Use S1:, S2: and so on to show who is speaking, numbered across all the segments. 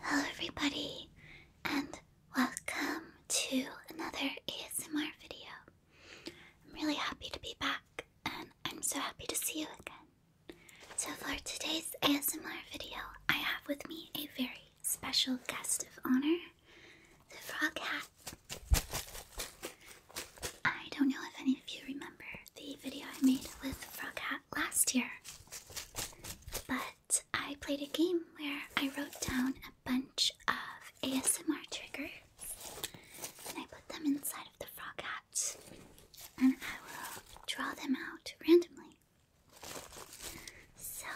S1: Hello, everybody, and welcome to another ASMR video. I'm really happy to be back, and I'm so happy to see you again. So, for today's ASMR video, I have with me a very special guest of honor, the Frog Hat. I don't know if any of you remember the video I made with Frog Hat last year, but I played a game where I wrote down a bunch of ASMR triggers and I put them inside of the frog hats, and I will draw them out randomly. So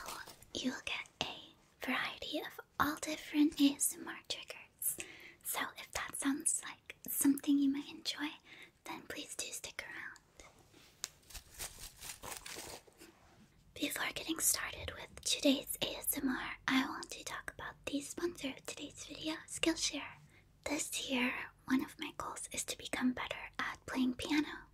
S1: you'll get a variety of all different ASMR triggers. So if that sounds like something you might enjoy, then please do stick around. Before getting started with today's ASMR, I want to talk about the sponsor of today's video, Skillshare. This year, one of my goals is to become better at playing piano.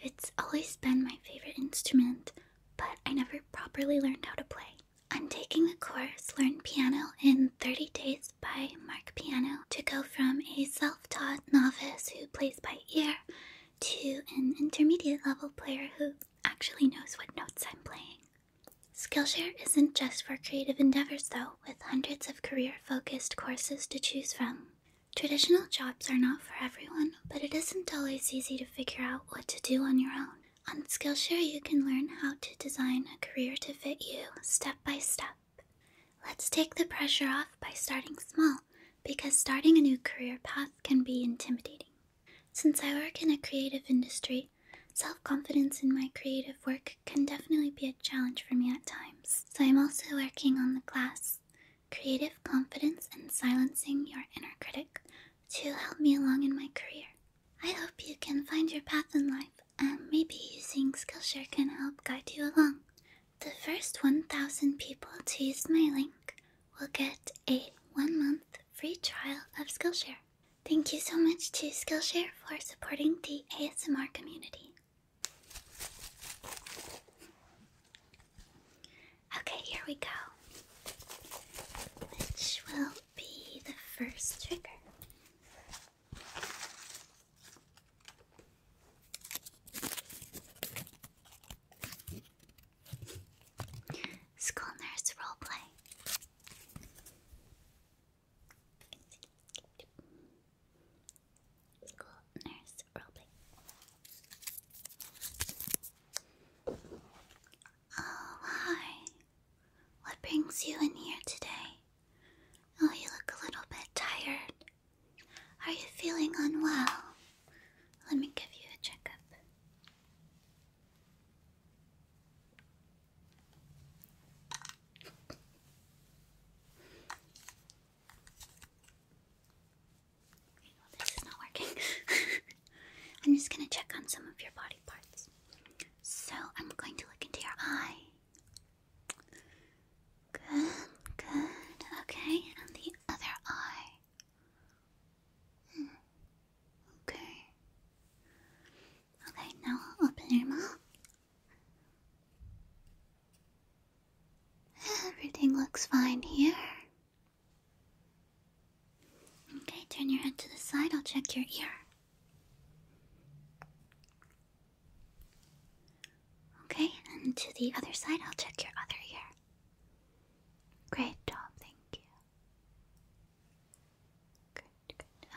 S1: It's always been my favorite instrument, but I never properly learned how to play. I'm taking the course Learn Piano in 30 Days by Mark Piano to go from a self self taught novice who plays by ear to an intermediate level player who actually knows what notes I'm playing. Skillshare isn't just for creative endeavors, though, with hundreds of career focused courses to choose from. Traditional jobs are not for everyone, but it isn't always easy to figure out what to do on your own. On Skillshare, you can learn how to design a career to fit you step by step. Let's take the pressure off by starting small because starting a new career path can be intimidating. Since I work in a creative industry, self confidence in my creative work can definitely be a challenge for me at times. So I'm also working on the class Creative Confidence and Silencing Your Inner Critic to help me along in my career. I hope you can find your path in life and maybe using Skillshare can help guide you along. The first 1,000 people to use my link will get a one month free trial of Skillshare. Thank you so much to Skillshare for supporting the ASMR community. Okay, here we go, which will be the first trigger. School nurse role play. School nurse role play. Oh, hi. What brings you in here today? Oh, you look a little bit tired. Are you feeling unwell? Let me give you a checkup. Okay, this is not working. I'm just going to check on some of your body parts. So, I'm going to look into your eye. Good, good. Okay, and the other eye. Okay. Okay, now open your mouth. Everything looks fine here. Okay, turn your head to the side. I'll check your ear. Okay, and to the other side, I'll check your other ear. Great job, thank you.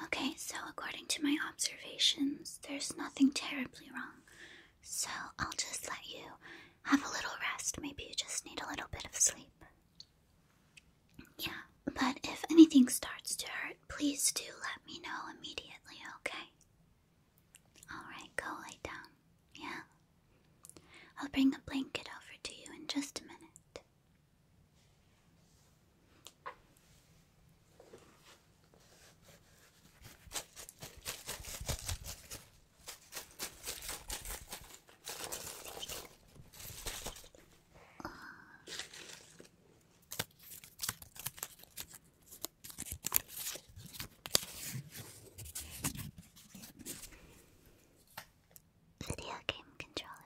S1: Okay, so according to my observations, there's nothing terribly wrong. So I'll just let you have a little rest. Maybe you just need a little bit of sleep. Yeah, but if anything starts to hurt, please do let me know immediately, okay? Alright, go lay down. Yeah? I'll bring a blanket over to you in just a minute. Video game controller.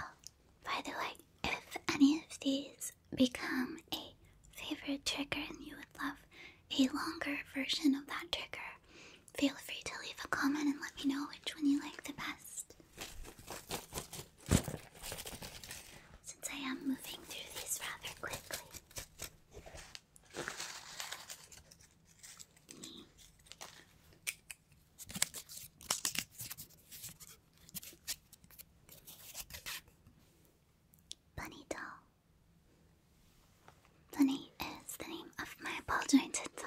S1: Oh, by the way, if any of these become a favorite trigger and you would love a longer version of that trigger, feel free to leave a comment and let me know which one you like the best. Since I am moving through these rather quickly. Bunny doll. Bunny is the name of my ball jointed doll.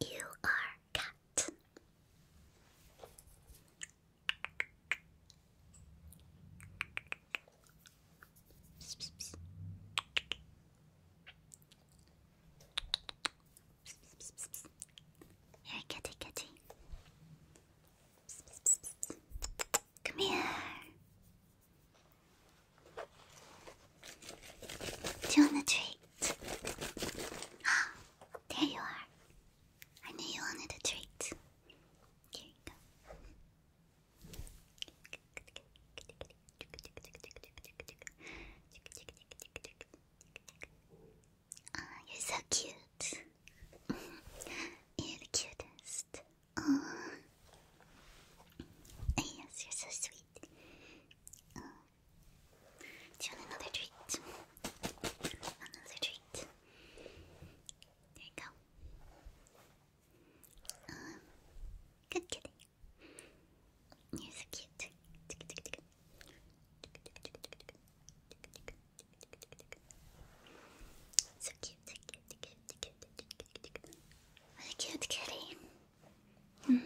S1: You are cat. Here, kitty, kitty. Come here. Do you want a treat? Ah, there you are. I knew you wanted a treat. Here you go. Ah, you're so cute. you're the cutest. Oh. Yes, you're so sweet. Do you want another treat? Another treat. There you go. Um, good kitty. You're so cute. So cute. What a cute kitty. Hmm.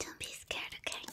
S1: Don't be scared, okay?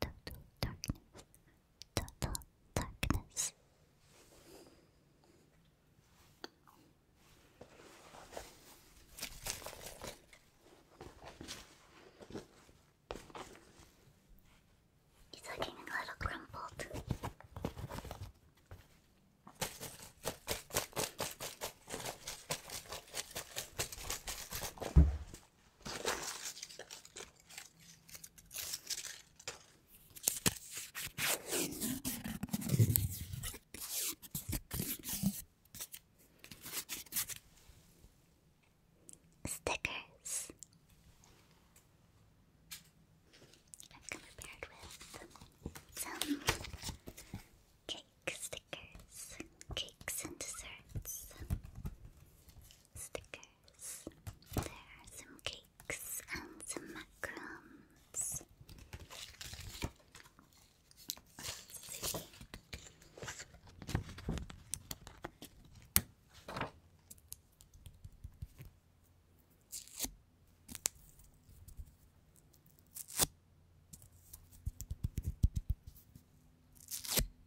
S1: Total darkness. Total darkness. He's looking a little crumpled. Stickers. I've come prepared with some cake stickers, cakes and desserts, stickers. There are some cakes and some macarons. Let's see.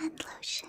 S1: and lotion.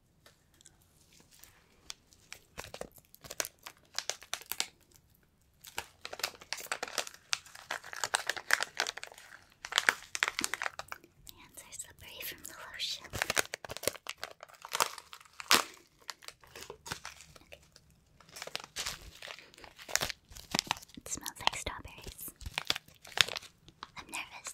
S1: My hands are slippery from the lotion. It smells like strawberries. I'm nervous.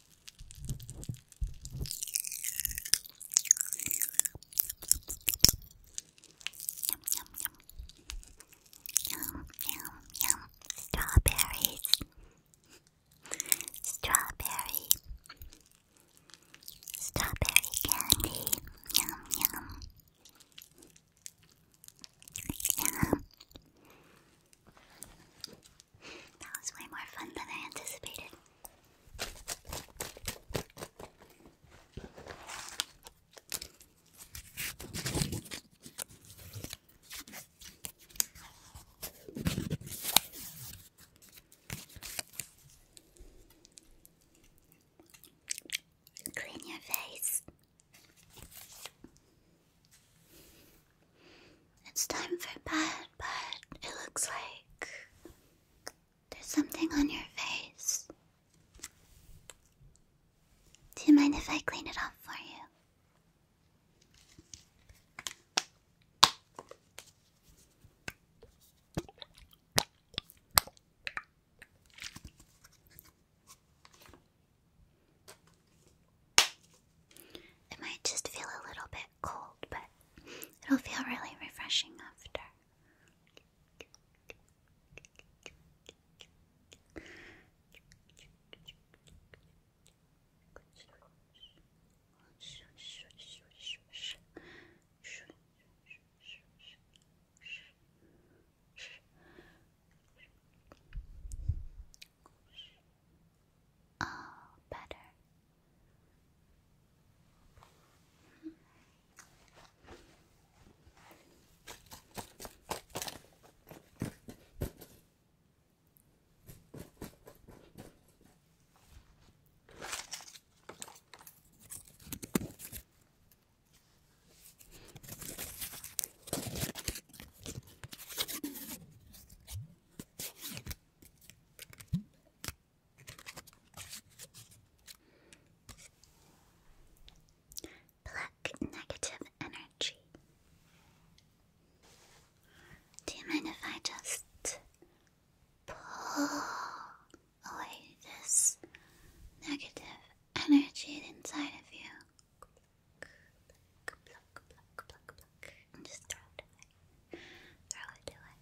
S1: yum, yum, yum, yum, strawberries, strawberry, strawberry candy, yum, yum, yum. That was way more fun than I anticipated. Clean your face. It's time for bed, but it looks like there's something on your face. Do you mind if I clean it off for you? It might just feel a little bit cold, but it'll feel really refreshing after. Oh, better. Pluck negative energy. Do you mind if I just pull away this negative energy inside of you? and just throw it away. Throw it away.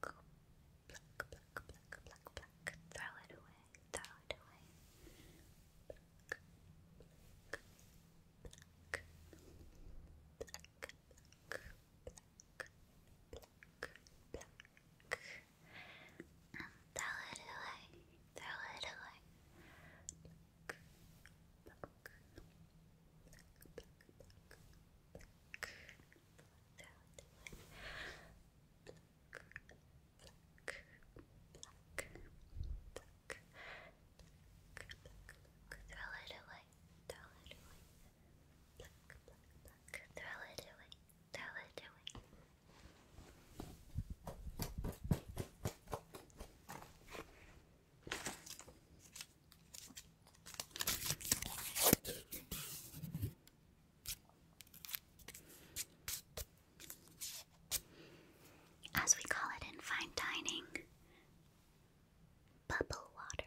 S1: Throw it away. Throw it away. throw it away. Throw it away pluck, pluck, Throw it away, throw it away. Throw it away, throw it away. As we call it in fine dining, bubble water.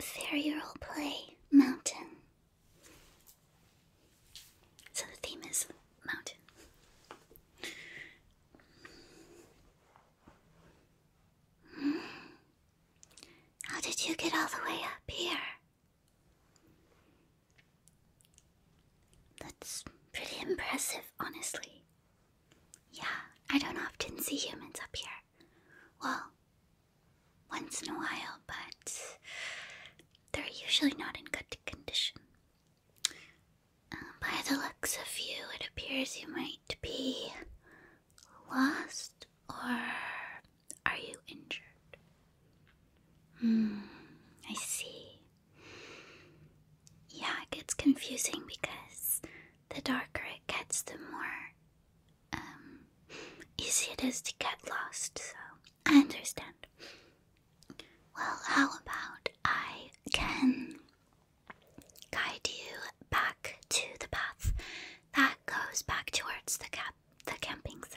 S1: Fairy role play mountain. So the theme is mountain. How did you get all the way up here? That's pretty impressive, honestly. Yeah, I don't often see humans up here. Well, once in a while, but they're usually not in good condition. Uh, by the looks of you, it appears you might be lost or are you injured? Hmm, I see. Yeah, it gets confusing because the darker it gets, the more um, easy it is to get lost, so I understand. Well, how about I can guide you back to the path that goes back towards the cap the camping site?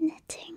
S1: Knitting.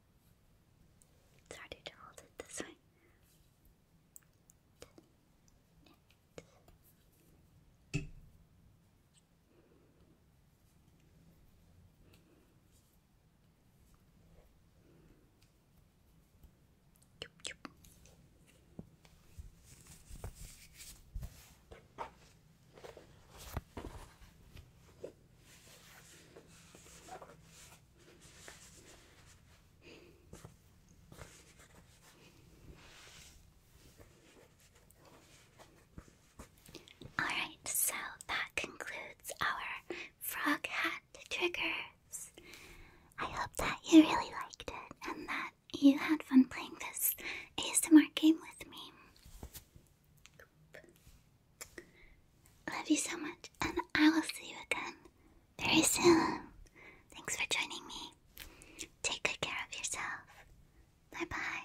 S1: It's harder to hold it this way. Knit. Yup, Alright, so that concludes our frog hat triggers. I hope that you really liked it and that you had fun playing this ASMR game with me. Love you so much, and I will see you again very soon. Thanks for joining me. Take good care of yourself. Bye bye.